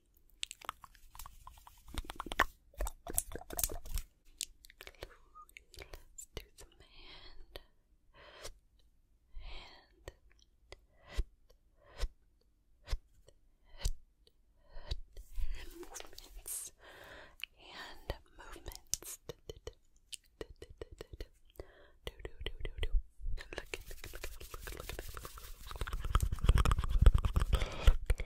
Let's do some hand. Hand. movements. Hand movements. Do do do do do. Look at look at look at look at look at look at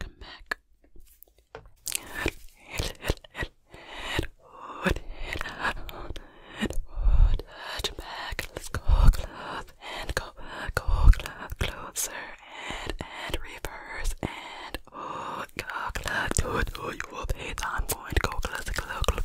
Come back. Touch back. Let's go. Close and go, go closer and, and reverse and oh, go close to, to your face. I'm going to go close, close, close.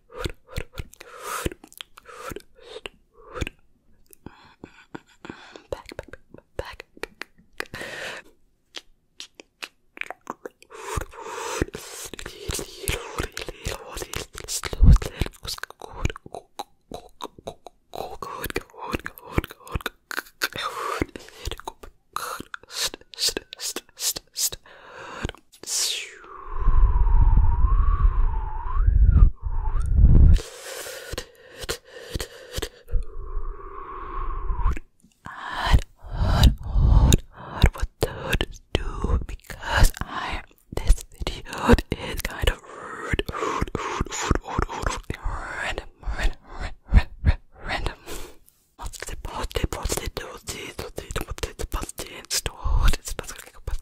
back, back, back, back. Hard, hard, hard, hard. What the hood is do? Because I this video is kind of rude, rude, rude, rude, rude, rude, rude. random, random, random, random. What's the party? What's the do? What's the do? What's the party? What's the party? What's the party?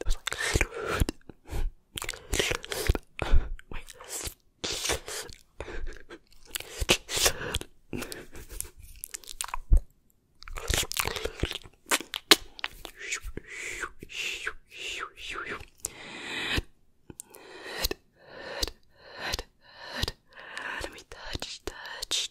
That was like wait. Let me touch, touch.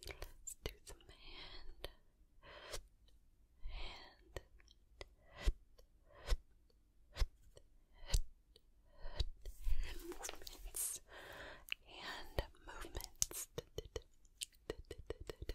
Let's do some hand. Hand. movements. Hand movements. Do do do do do.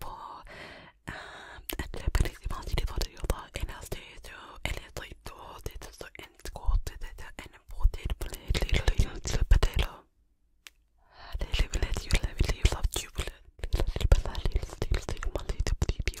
for um Japanese did for the and I'll stay to and it's like to it so and go to the and imported potato potato they live let you live you love you but I little still still money to bleep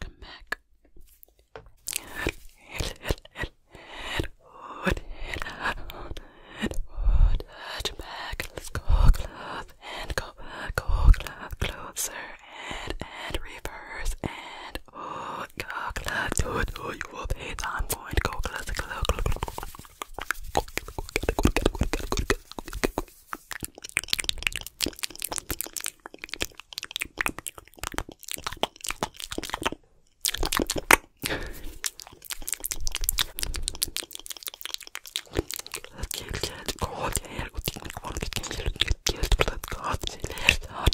Come back. Touch back. Let's go close and go, go close, closer and and reverse and said, oh, closer to, I'm going to go closer, closer, closer.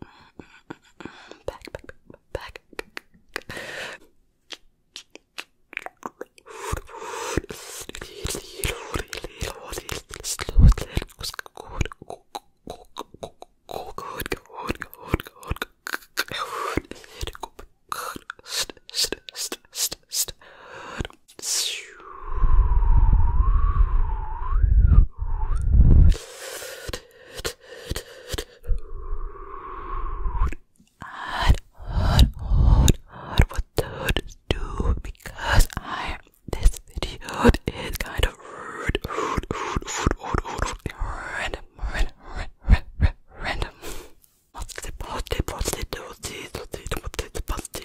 Back, back, back, back. Good, and hard, hard, hard what those do because I this video is kind of rude, random, random, random, random. What's the party, party, do, do, do, do, do, do, do, do,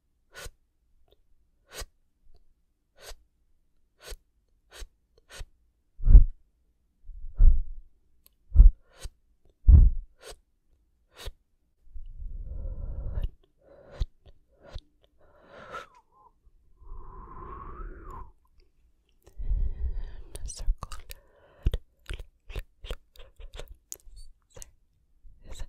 circle. Is it?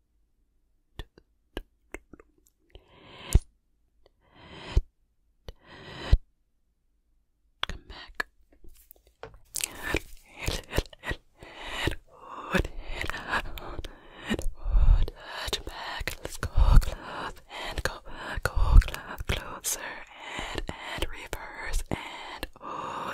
Come back. Touch back. Let's go close and go, go closer and and reverse and oh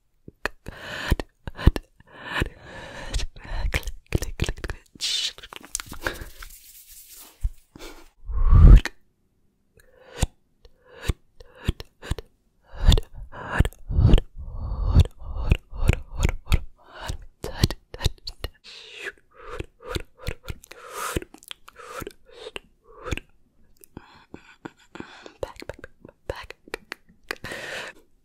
Back, back, back, back.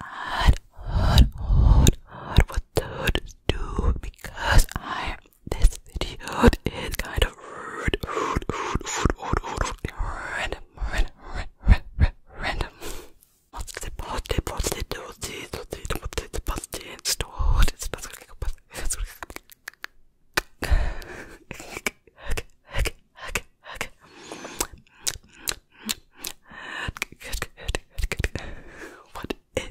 hard, hard, hard, hard for do because I this video is kind of rude, random, random, random, random. What's the party? What's the dozy? What's the what's the party? It's stored. It's not going to go past. Okay, hug, hug. Good, good, good, good. What is it?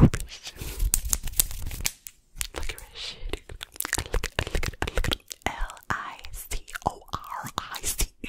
Licorice. Licorice. L I C O R I C E.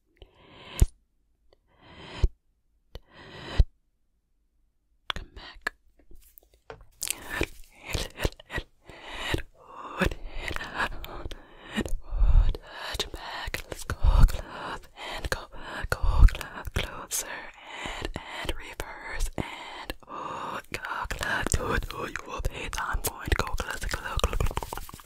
Come back. Head, back. Let's go closer and and reverse and oh, go close. I'm going to go close, close, close.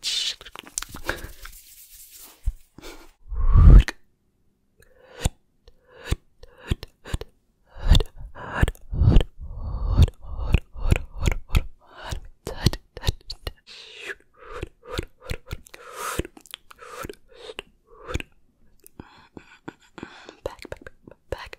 bitch. Back, back, back, back.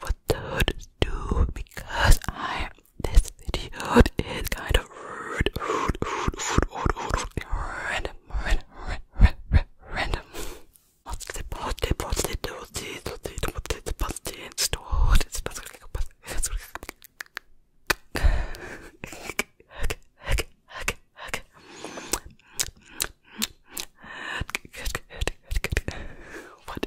what the do because I this video is kind of rude, rude, rude, rude, rude, rude, rude random, random, random, random. What's the positive, positive, positive, positive, positive, positive, positive, positive, positive, what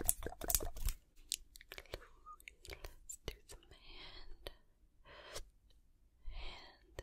Let's do some hand. Hand.